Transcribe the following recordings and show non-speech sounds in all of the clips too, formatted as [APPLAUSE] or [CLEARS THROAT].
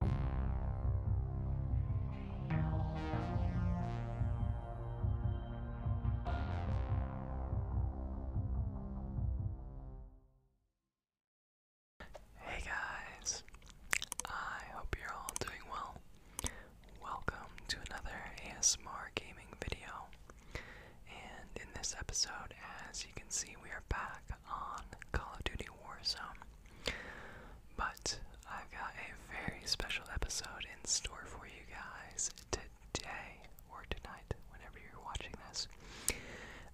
Hey guys, I hope you're all doing well. Welcome to another ASMR gaming video. And in this episode, as you can see, we are back on Call of Duty Warzone. But I've got a very special episode in store for you guys today or tonight, whenever you're watching this.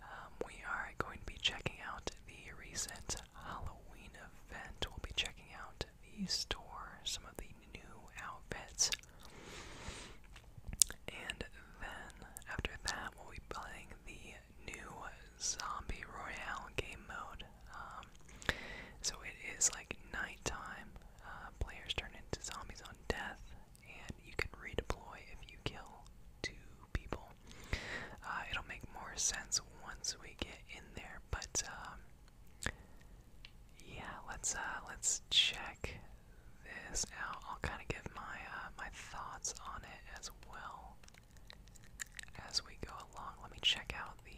Um, we are going to be checking out the recent Halloween event. We'll be checking out the store, some of the new outfits. And then after that, we'll be playing the new zombie royale game mode. Um, so it is like nighttime. Uh, players turn into zombies on death, and you can redeploy if you kill two people. Uh, it'll make more sense once we get in there, but um, yeah, let's uh, let's check this out. I'll kind of give my uh, my thoughts on it as well as we go along. Let me check out the,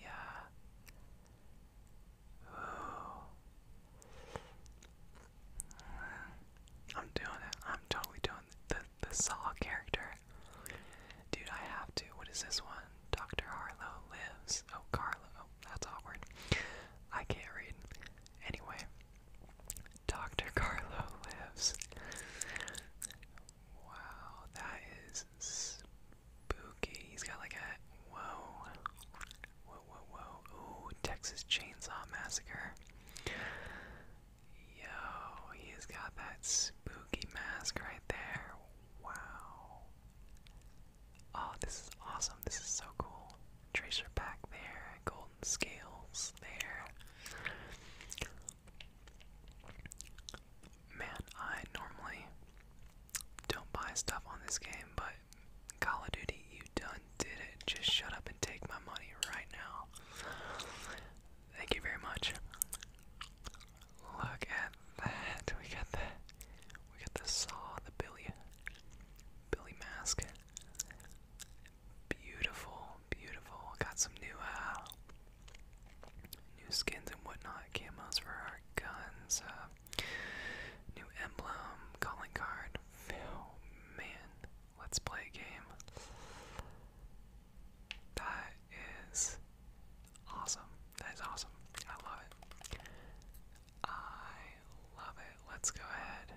uh... I'm doing it. I'm totally doing the, the Saw character. Dude, I have to. What is this one? Dr. Harlow lives. Oh, Carlo. Oh, that's awkward. I can't read. Anyway, Dr. Carlo lives. Wow, that is spooky. He's got like a whoa, whoa, whoa, whoa. Ooh, Texas Chainsaw Massacre. Yo, he's got that spooky mask right there. Wow. Oh, this is awesome. This is so cool. Tracer back there. Gold scales there. Man, I normally don't buy stuff on this game, but Call of Duty, you done did it. Just shut up and take my money right now. Thank you very much. Look at that. We got the we got the saw, the Billy Billy mask. Beautiful, beautiful. Got some new uh, new skins and whatnot, camos for our guns, uh, new emblem, calling card. Oh, man, let's play a game. That is awesome. That is awesome. I love it. I love it. Let's go ahead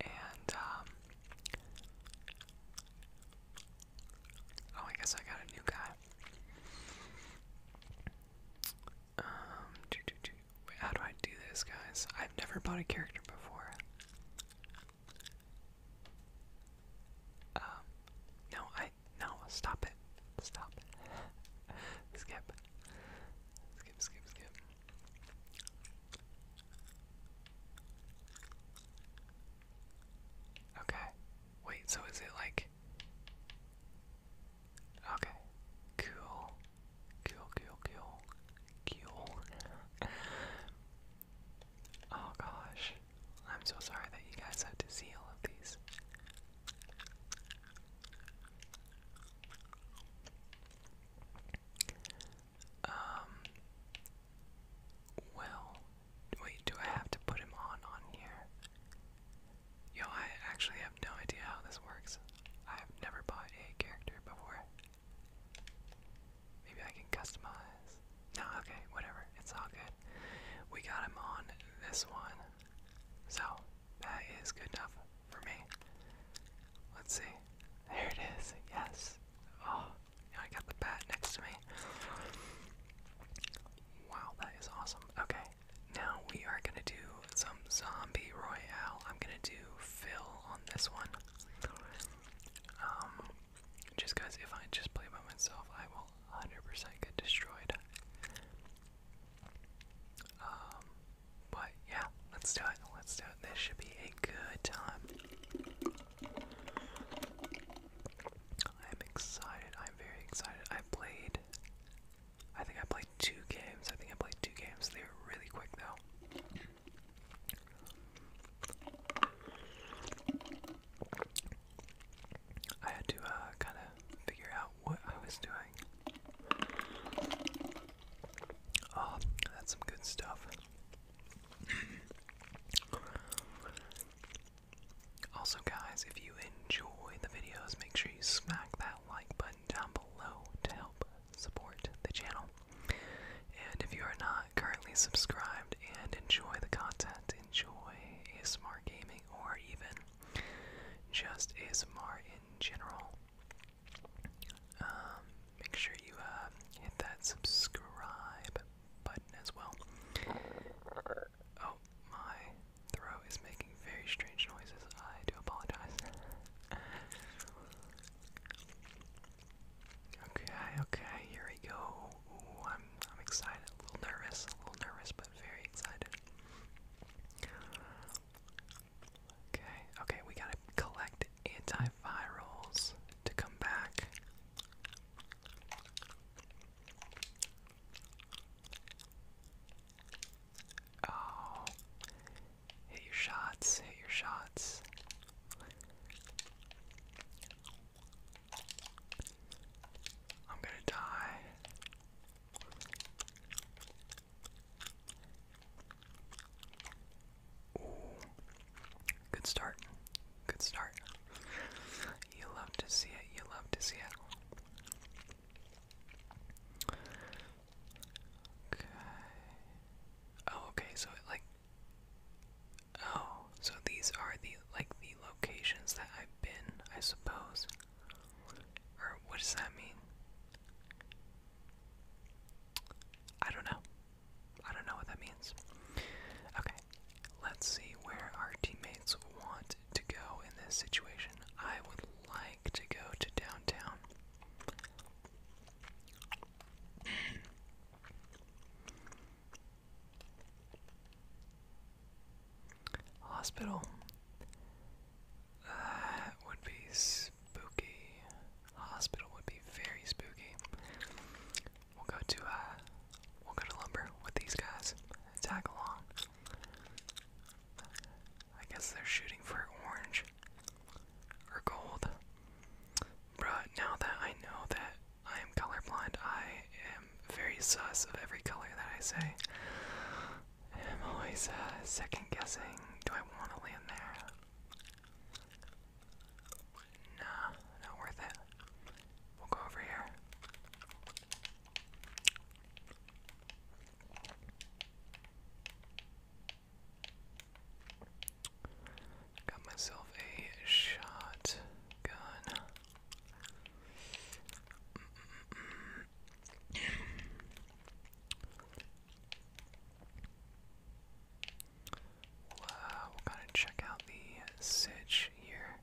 and um, Oh, I guess I got a new guy. Um, how do I do this, guys? I've never bought a character before. Um, no, I, no, stop it. Stop [LAUGHS] skip. Skip, skip, skip. Okay. Wait, so is it like. Okay. Cool. Cool, cool, cool. Cool. oh gosh. I'm so sorry that you guys have to see all of these. Um. Well, wait. Do I have to put him on on here? Yo, I actually have no idea how this works. I've never bought a character before. Maybe I can customize. No, okay, whatever. It's all good. We got him on this one. So, that is good enough for me. Let's see. There it is. Yes. Oh, I got the bat next to me. Wow, that is awesome. Okay, now we are gonna do some zombie royale. I'm gonna do Phil on this one. Um, just because if I just play by myself, I will 100% get destroyed. Um, but yeah, let's do it. Let's do it. This should be a good time. I'm excited. I'm very excited. I played. I think I played two games. I think I played two games. They were really quick though. I had to uh, kind of figure out what I was doing. Oh, that's some good stuff. [CLEARS THROAT] Also, guys, if you enjoy the videos, make sure you smack that like button down below to help support the channel. And if you are not currently subscribed and enjoy the content, enjoy ASMR gaming or even just ASMR in general, um, make sure you uh, hit that subscribe button as well. Oh, my throat is making very strange noises. I do apologize. okay, okay, here we go. I'm I'm excited, a little nervous, a little nervous, but very excited. Okay, okay, we got collect antivirals to come back. Oh, hit your shots, hit your shots. I'm gonna die. Ooh. Good start. Good start. You love to see it. You love to see it. Okay. Oh, okay. So like. Oh, so these are the like the locations that I've been, I suppose. Or what does that mean? I don't know. I don't know what that means. Okay, let's see where our teammates want to go in this situation. I would like to go to downtown. Hospital. That uh, would be spooky hospital would be very spooky. We'll go to uh we'll go to lumber with these guys. Tag along. I guess they're shooting for orange or gold. But now that I know that I am colorblind, I am very sus of every color that I say. I'm always uh, second guessing do I want to land there? Nah, not worth it. We'll go over here. Got myself a shotgun we we'll kind check out the sitch here.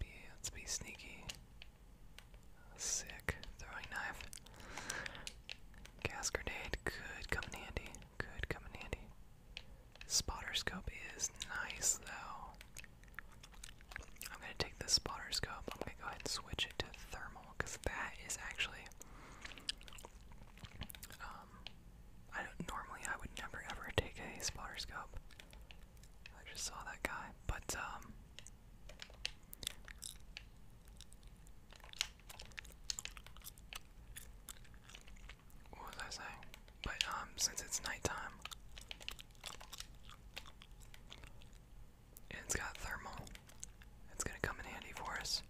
Be, let's be sneaky. Sick throwing knife. Gas could come in handy. Could come in handy. Spotter scope is nice though. I'm gonna take this spotter scope. I'm gonna go ahead and switch it to thermal because that is actually. Um, I normally I would never ever take a spotter scope. I just saw that guy, but um. What was I saying? But um, since it's nighttime, it's got thermal. It's gonna come in handy for us.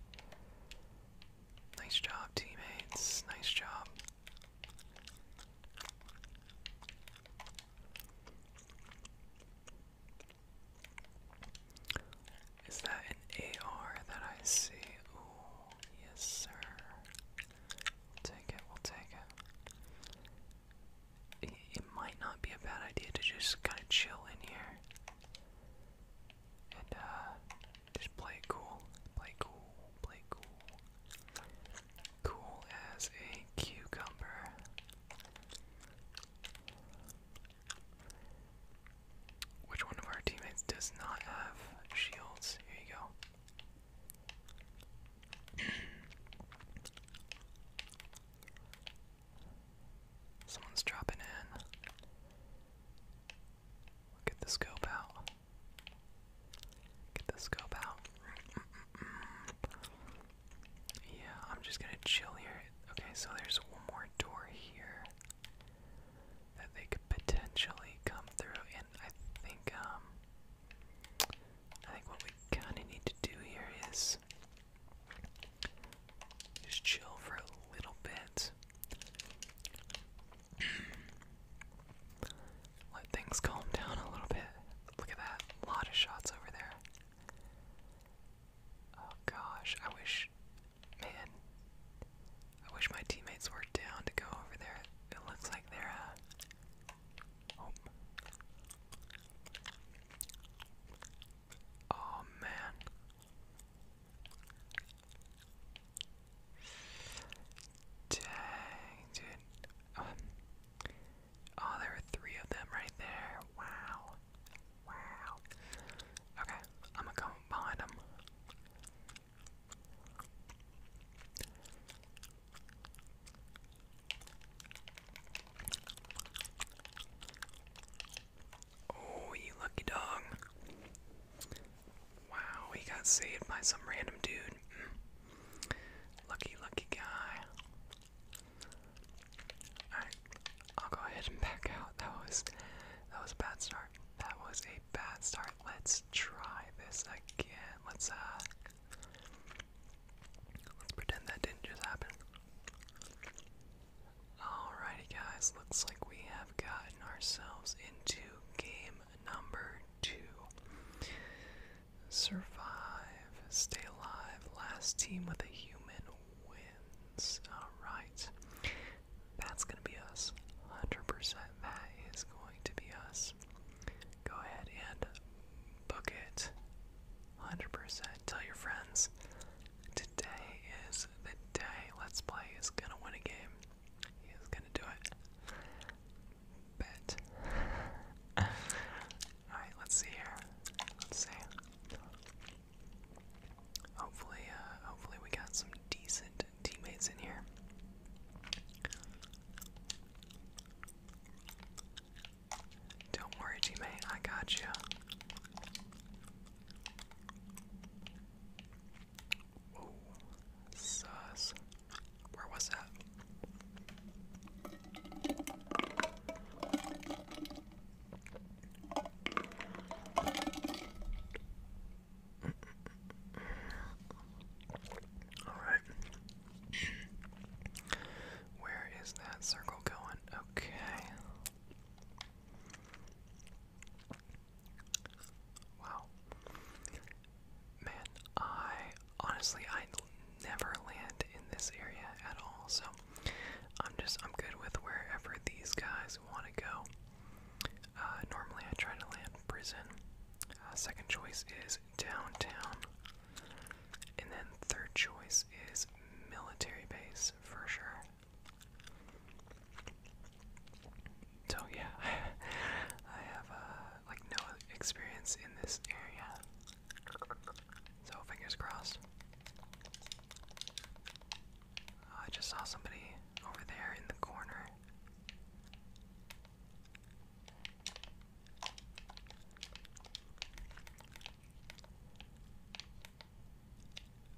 Nice job, teammates. Nice job. Is that an AR that I see? Ooh, yes, sir. We'll take it, we'll take it it, might not be a bad idea to just kind of chill in here and uh, just play cool, play cool, play cool, cool as a cucumber. Which one of our teammates does not have shields? Here you go. Someone's dropping in. Get the scope out. Get the scope out. Yeah, I'm just gonna chill here. Okay, so there's one more door here that they could potentially come through, and I think um, I think what we kind of need to do here is just chill for a little bit. [CLEARS THROAT] Let things calm down a little bit. Look at that. A lot of shots over there. Oh gosh, I wish. Man. I wish my teammates were down to go over there. It looks like they're, uh. Oh. man. Dang, dude. Um, oh, there were three of them right there. Wow. Wow. Okay, I'm gonna come behind them. Oh, you lucky dog. Wow, he got saved by some random dude. Hmm. Lucky, lucky guy. Alright, I'll go ahead and back out. That was that was a bad start. That was a bad start. Let's try this again. Let's uh, Let's pretend that didn't just happen. Alrighty, guys, looks like we have gotten ourselves into game number two. Survive, stay alive, last team with a human wins. Alright, that's gonna be us. 100% that is going to be us go ahead and book it 100%. Tell your friends. Today is the day Let's Play is gonna win a game. He gonna do it. Bet. Alright, let's see here. Let's see. Hopefully, uh, hopefully we got some decent teammates in here. Don't worry, teammate, I got you. Whoa, Where was that? [LAUGHS] All right. Where is that circle going? Okay. Wow. Man, I honestly I never land in this area at all, so I'm just I'm good with wherever these guys want to go. Uh, normally I try to land prison. Uh, second choice is downtown. And then third choice is military base for sure. So yeah, [LAUGHS] I have uh, like no experience in this area. So fingers crossed. I just saw somebody over there in the corner.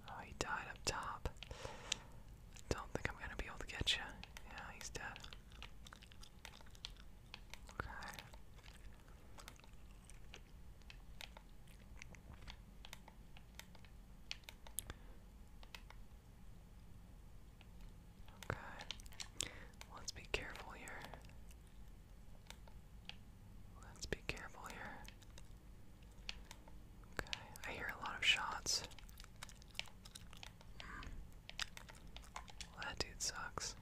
Oh, he died up top. Don't think I'm gonna be able to get you. Yeah, he's dead. Okay. Okay. Let's be careful here. Let's be careful here. Okay. I hear a lot of shots. that dude sucks.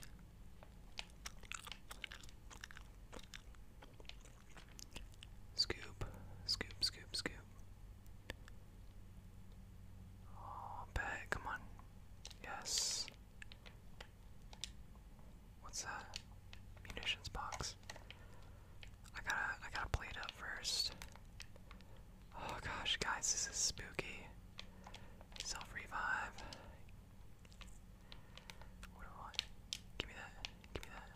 Scoop, scoop, scoop, scoop. Oh, bet, come on. Yes. What's that? Munitions box. I gotta, I gotta play it up first. Oh gosh, guys, this is spooky. Self revive. What do I Give me that. Give me that.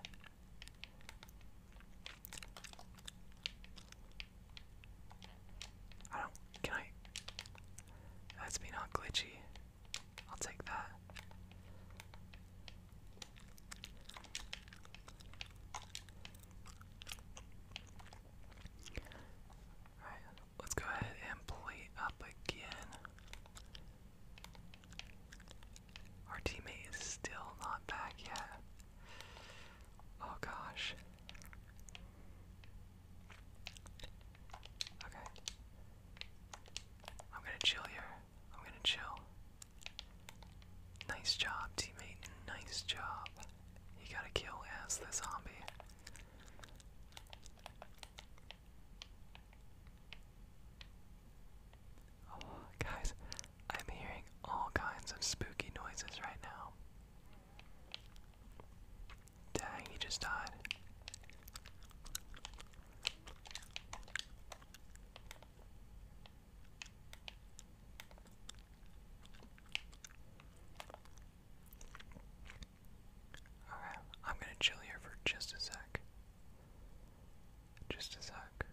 I don't. Can I? That's me not glitchy. I'll take that. Alright, let's go ahead and play up again. Our teammate is still not back yet. Oh gosh. Okay. I'm gonna chill here. I'm gonna chill. Nice job, teammate. Nice job. You gotta kill as the zombie. Oh, guys, I'm hearing all kinds of spooky noises right now. Dang, he just died. Okay, I'm gonna chill here for just a sec. Just a sec.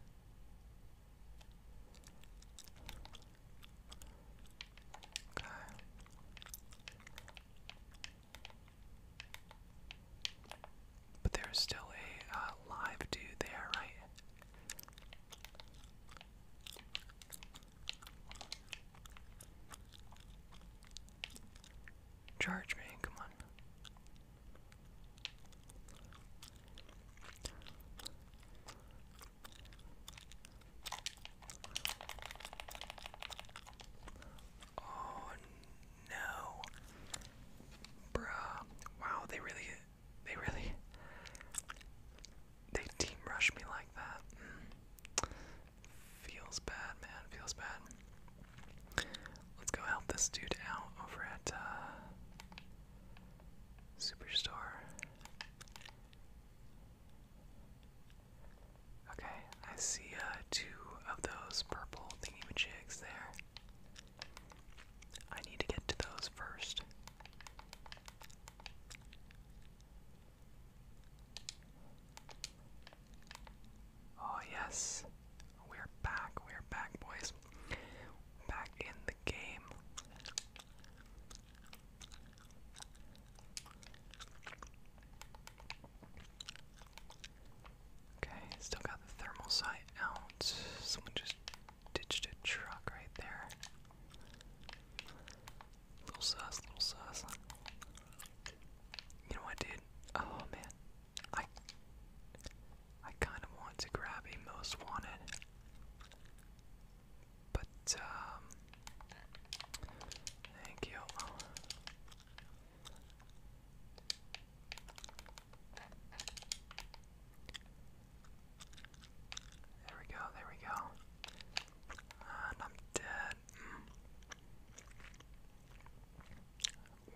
But there's still a uh, live dude there, right? Charge me, come on. Oh no. Bruh. Wow, they really they really they team rush me like that. Hmm. Feels bad, man. Feels bad. Let's go help this dude out over at uh Superstore. Okay, I see uh, two of those purple thingy-majigs there. I need to get to those first. Oh yes, we're back, we're back boys. Back in the game. Okay, still got the thermal sight out. Someone just ditched a truck right there. Little sus, little sus. You know what, dude? Oh man, I I kind of want to grab a most wanted. But, um, thank you. There we go, there we go. I'm dead.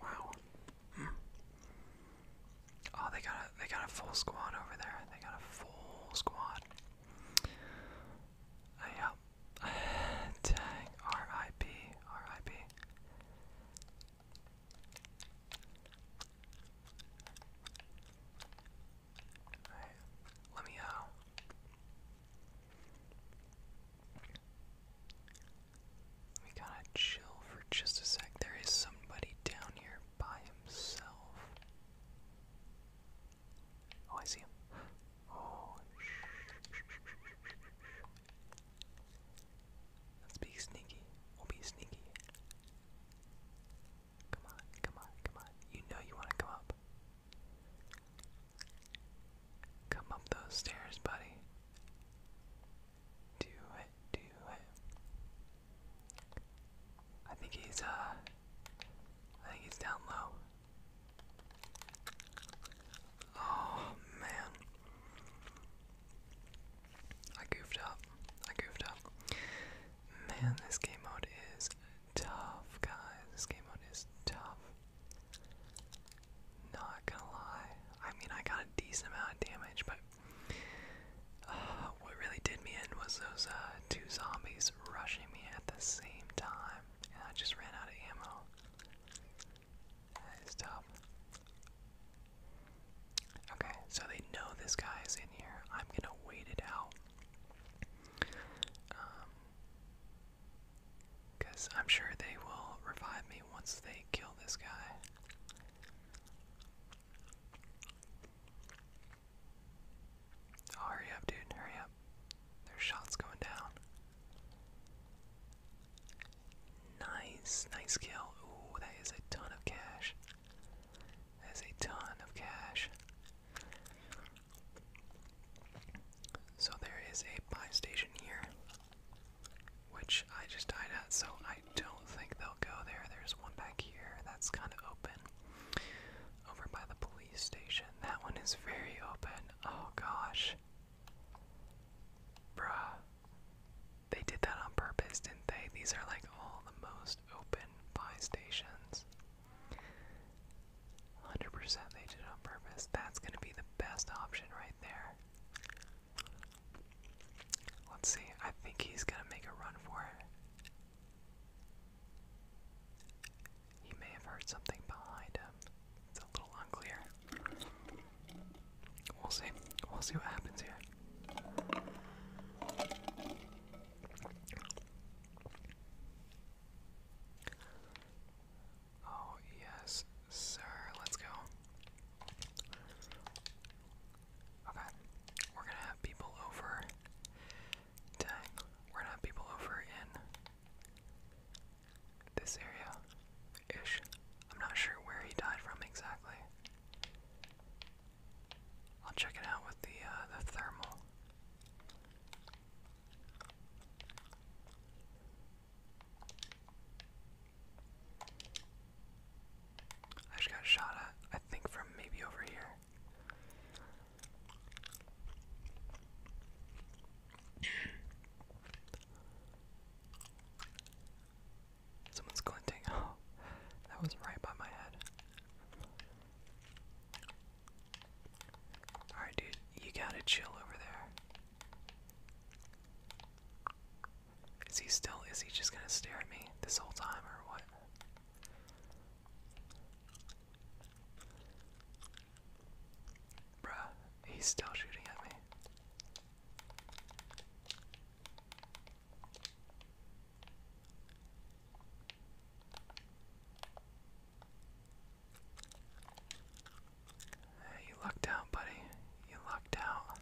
Mm. Wow. Mm. Oh, they got a, they got a full squad over there. They got a full squad. Uh, yep. [SIGHS] Dang. let me uh, Let me kind of chill for just a sec. There is somebody down here by Oh, I see him. Oh, let's be sneaky. We'll be sneaky. Come on, come on, come on. You know you want to come up. Come up those stairs, buddy. Do it, do it. I think he's uh I think he's down low. Oh man. I goofed up. I goofed up. Man, this game mode is tough, guys. This game mode is tough. Not gonna lie. I mean I got a decent amount of damage, but uh, what really did me in was those uh, two zombies rushing me at the same time, and I just ran out of ammo. That is Okay, so they know this guy is in here. I'm gonna wait it out. Um, Cause I'm sure they will revive me once they kill this guy. Oh, hurry up, dude. Hurry up. There's shots going down. Nice. Nice kill. Ooh, that is a ton of cash. That is a ton of cash. So there is a buy station here, which I just died at, so I don't think they'll go there. There's one back here that's kind of open. Over by the police station. That one is very open. Oh gosh. Bruh. They did that on purpose, didn't they? These are like all the most open buy stations. 100% they did on purpose. That's going to be the best option right there. Let's see. I think he's going to make a run for it. He may have heard something behind him. It's a little unclear. We'll see. We'll see what happens here. Oh, yes, sir. Let's go. Okay. We're gonna have people over. We're gonna have people over in this area ish. I'm not sure where he died from exactly. I'll check it out with the uh, the thermal. I just got shot at. I think from maybe over here. Someone's glinting. [LAUGHS] Oh, that was right by my head. Alright, dude, you gotta chill over there. Is he still, is he just gonna stare at me this whole time or what? Bruh, he's still shooting at me. you lucked out, buddy. You lucked out.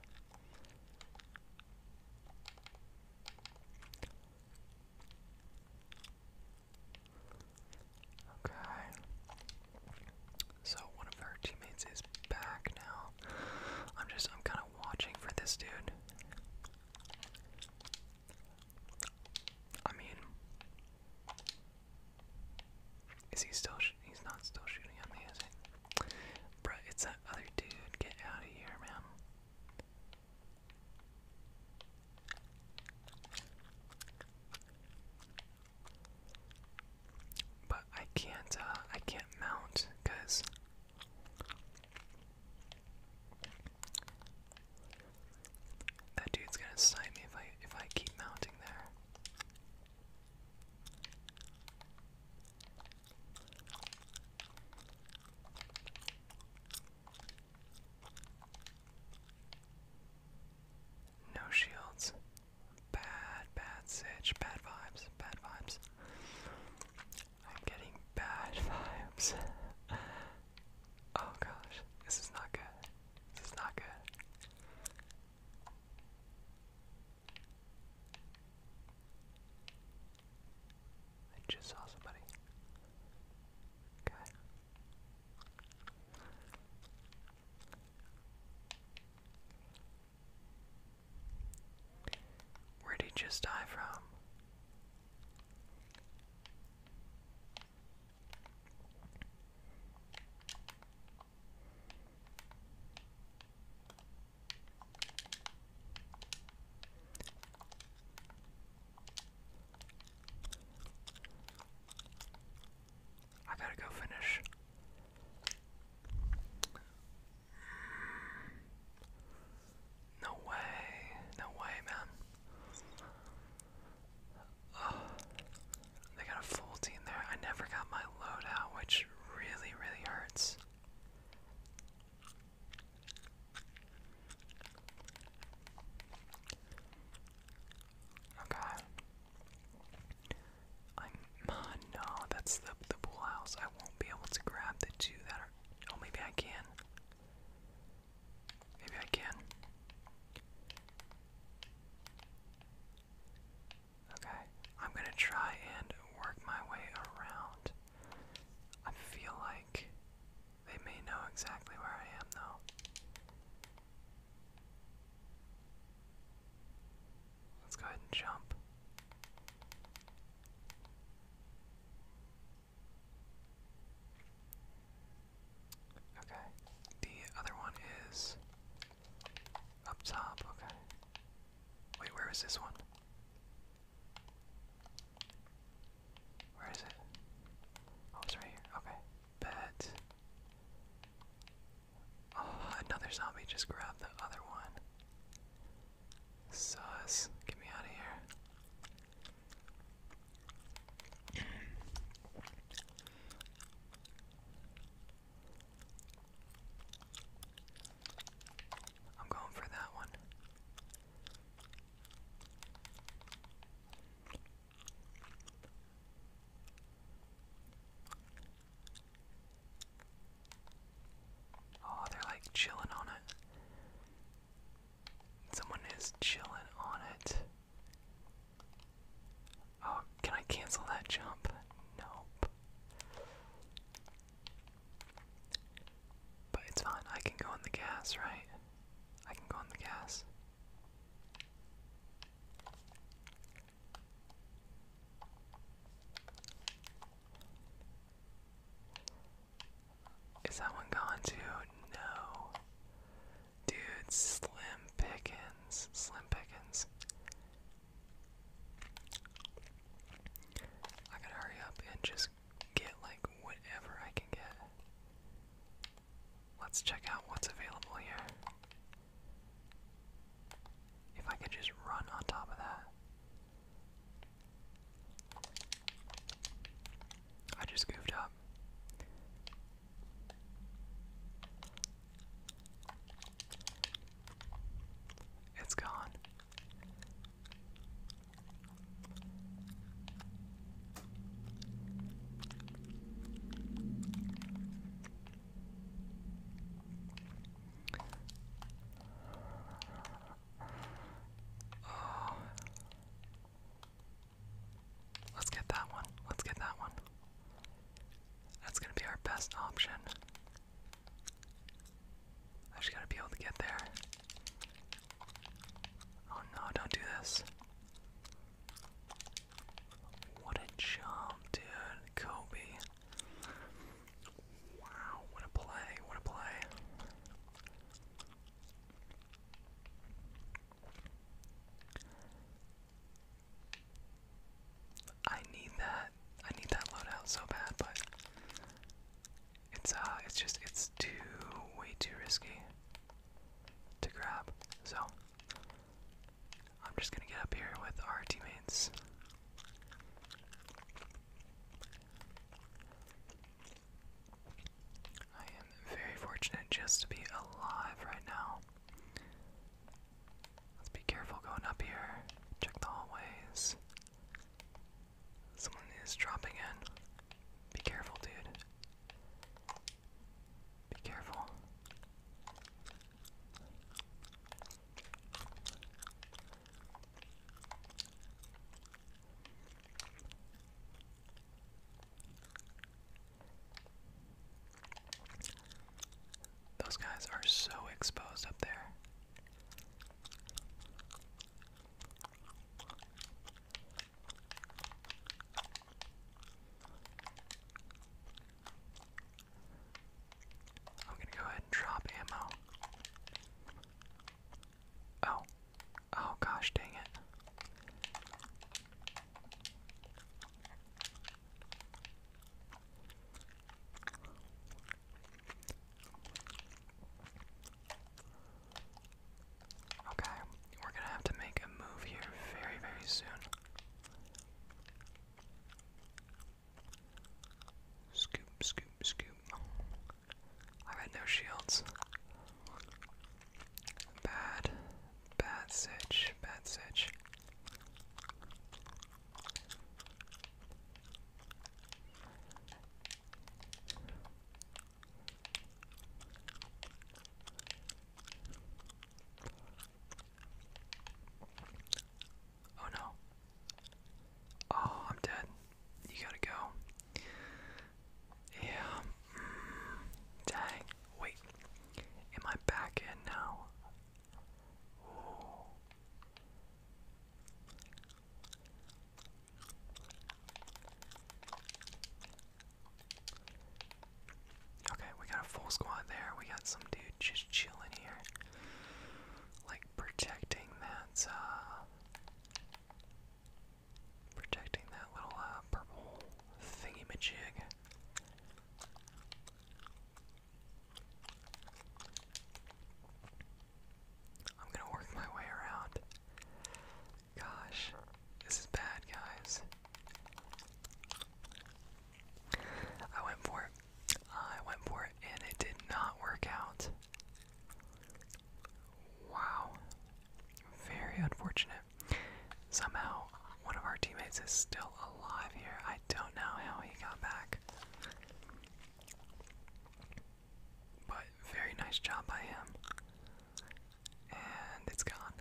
Okay. So one of our teammates is back now. I'm just I'm kind of watching for this dude. I mean, is he still? he's not still shooting at me, is he? Bruh, it's that other dude. Get out of here, man. But I can't, uh, I can't mount, because that dude's gonna snipe me if I, if I keep mounting there. No shields. Bad, bad sitch. Bad vibes. Bad vibes. I'm getting bad [LAUGHS] vibes. oh gosh. This is not good. This is not good. I just saw somebody. Okay. Where'd he just die from? I gotta go finish. No way, no way, man. they got a full team there. I never got my loadout, which really, really hurts. Okay. I'm. [LAUGHS] no, that's the the pool house. I won't be able to grab the two that are. Oh, maybe I can. Maybe I can. Okay, I'm gonna try and work my way around. I feel like they may know exactly where I am, though. Let's go ahead and jump. Okay, the other one is up top, okay. Wait, where is this one? Where is it? Oh, it's right here. Okay. Bet. Oh, another zombie just grabbed the other one. Sus. Get me out of here. I'm going for that one. Oh, they're like chilling on it. Someone is chilling on it. Oh, can I cancel that jump? Nope. But it's fine, I can go on the gas, right? I can go on the gas. Is that one gone too? No. Dude, Slim Pickens. Slim Pickens. I gotta hurry up and just get like whatever I can get. Let's check out what's available here. If I could just run on top of that. I just goofed up. It's gone. Oh. Let's get that one. Let's get that one. That's going to be our best option. I just gotta be able to get there. Oh no, don't do this. What a jump, dude. Kobe. Wow, what a play, what a play. I need that. I need that loadout so bad, but it's uh it's just it's too way too risky to grab. So I'm just gonna get up here with our teammates. I am very fortunate just to be alive right now. Let's be careful going up here. Check the hallways. Someone is dropping in. Be careful, dude. Be careful. Those guys are so exposed up there. I'm gonna go ahead and drop ammo. Oh. Oh gosh dang it. Okay, we're gonna have to make a move here very, very soon. Scoop, scoop, scoop. I had no shields. Bad, bad sitch, bad sitch. Oh no. Oh, I'm dead. You gotta go. Yeah. Mm, dang. Wait. Am I back in now? Okay, we got a full squad there. We got some dude just chilling here. Like protecting that uh, protecting that little uh, purple thingy magig. I'm gonna work my way around. Gosh, this is bad, guys. I went for it. I went for it, and it did not work out. Wow. Very unfortunate. Somehow one of our teammates is still alive here. I don't know how he got back. But very nice job by him. And it's gone.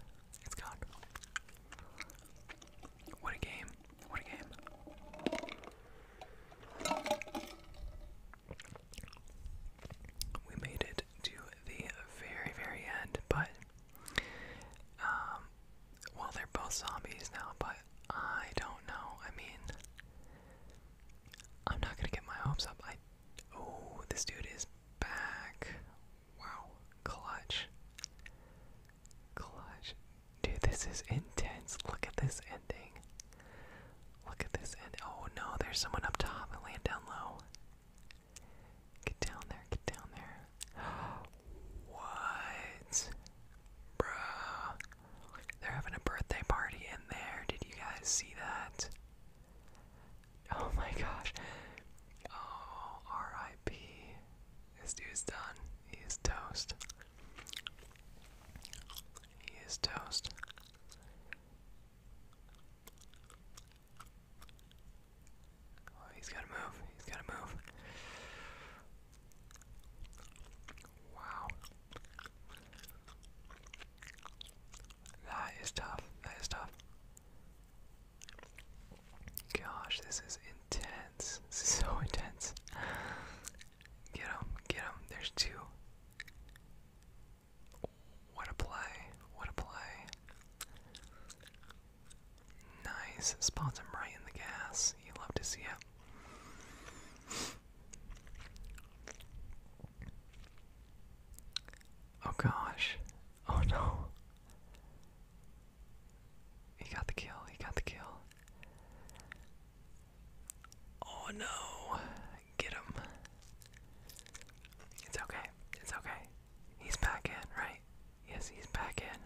It's gone. What a game. What a game. We made it to the very, very end, but um, well, they're both zombies now, but I don't know. I mean, I'm not gonna get my hopes up. I oh, this dude is back. Wow, clutch, clutch, dude. This is intense. Look at this ending. Look at this end. Oh no, there's someone up top. I land down low. Get down there. Get down there. What? Bruh. They're having a birthday party in there. Did you guys see that? Oh my gosh. Oh, R.I.P. This dude's done. He toast. He is toast. Oh, he's gotta move. He's gotta move. Wow. That is tough. That is tough. Gosh, this is intense. This is [LAUGHS] so intense. Get him. Get him. There's two. What a play. What a play. Nice. Spots him right in the gas. You love to see it. Oh gosh. Oh no. He got the kill. He got the kill. Oh no. Get him. It's okay. It's okay. He's back in, right? Yes, he's back in.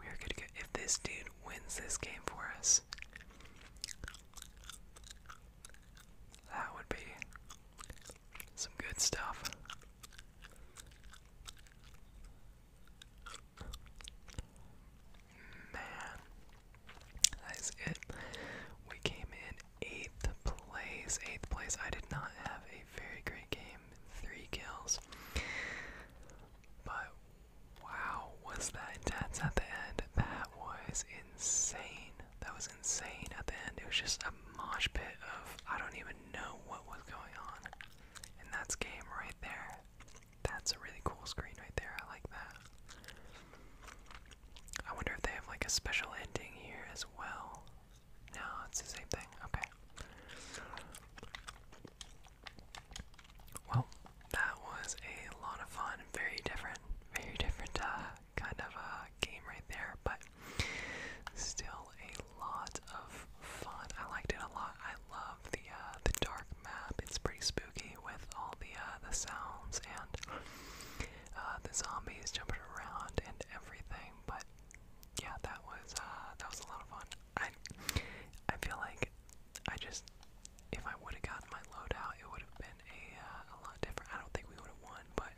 We are good to go. If this dude wins this game for us, that would be some good stuff. Man, that is it. We came in eighth place. Eighth place. I did not have a very great game three kills. But wow, was that intense at the end? That was insane. That was insane at the end. It was just a mosh pit of I don't even know what was going on. And that's game right there. That's a really cool screen right there. I like that. I wonder if they have like a special ending here as well. No, it's the same thing. Okay. Well, that was a lot of fun. Very different, very different uh, kind of uh, game right there, but still a lot of fun. I liked it a lot. I love the uh, the dark map. It's pretty spooky with all the uh, the sounds and uh, the zombies jumping around and everything. But yeah, that was uh, that was a lot of fun. I I feel like I just if I would have gotten my loadout, it would have been uh, a lot different. I don't think we would have won, but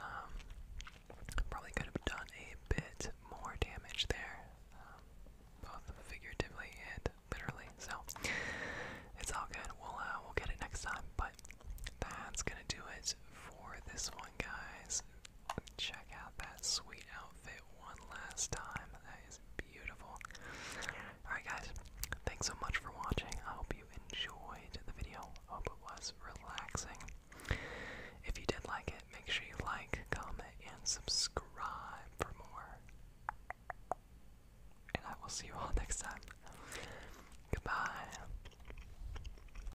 um, probably could have done a bit more damage there, um, both figuratively and literally. So it's all good. We'll uh, we'll get it next time, but. That's gonna do it for this one, guys check out that sweet outfit one last time. That is beautiful. Alright, guys, thanks so much for watching. I hope you enjoyed the video. hope it was relaxing. If you did like it, make sure you like, comment, and subscribe for more. And I will see you all [LAUGHS] next time. Goodbye.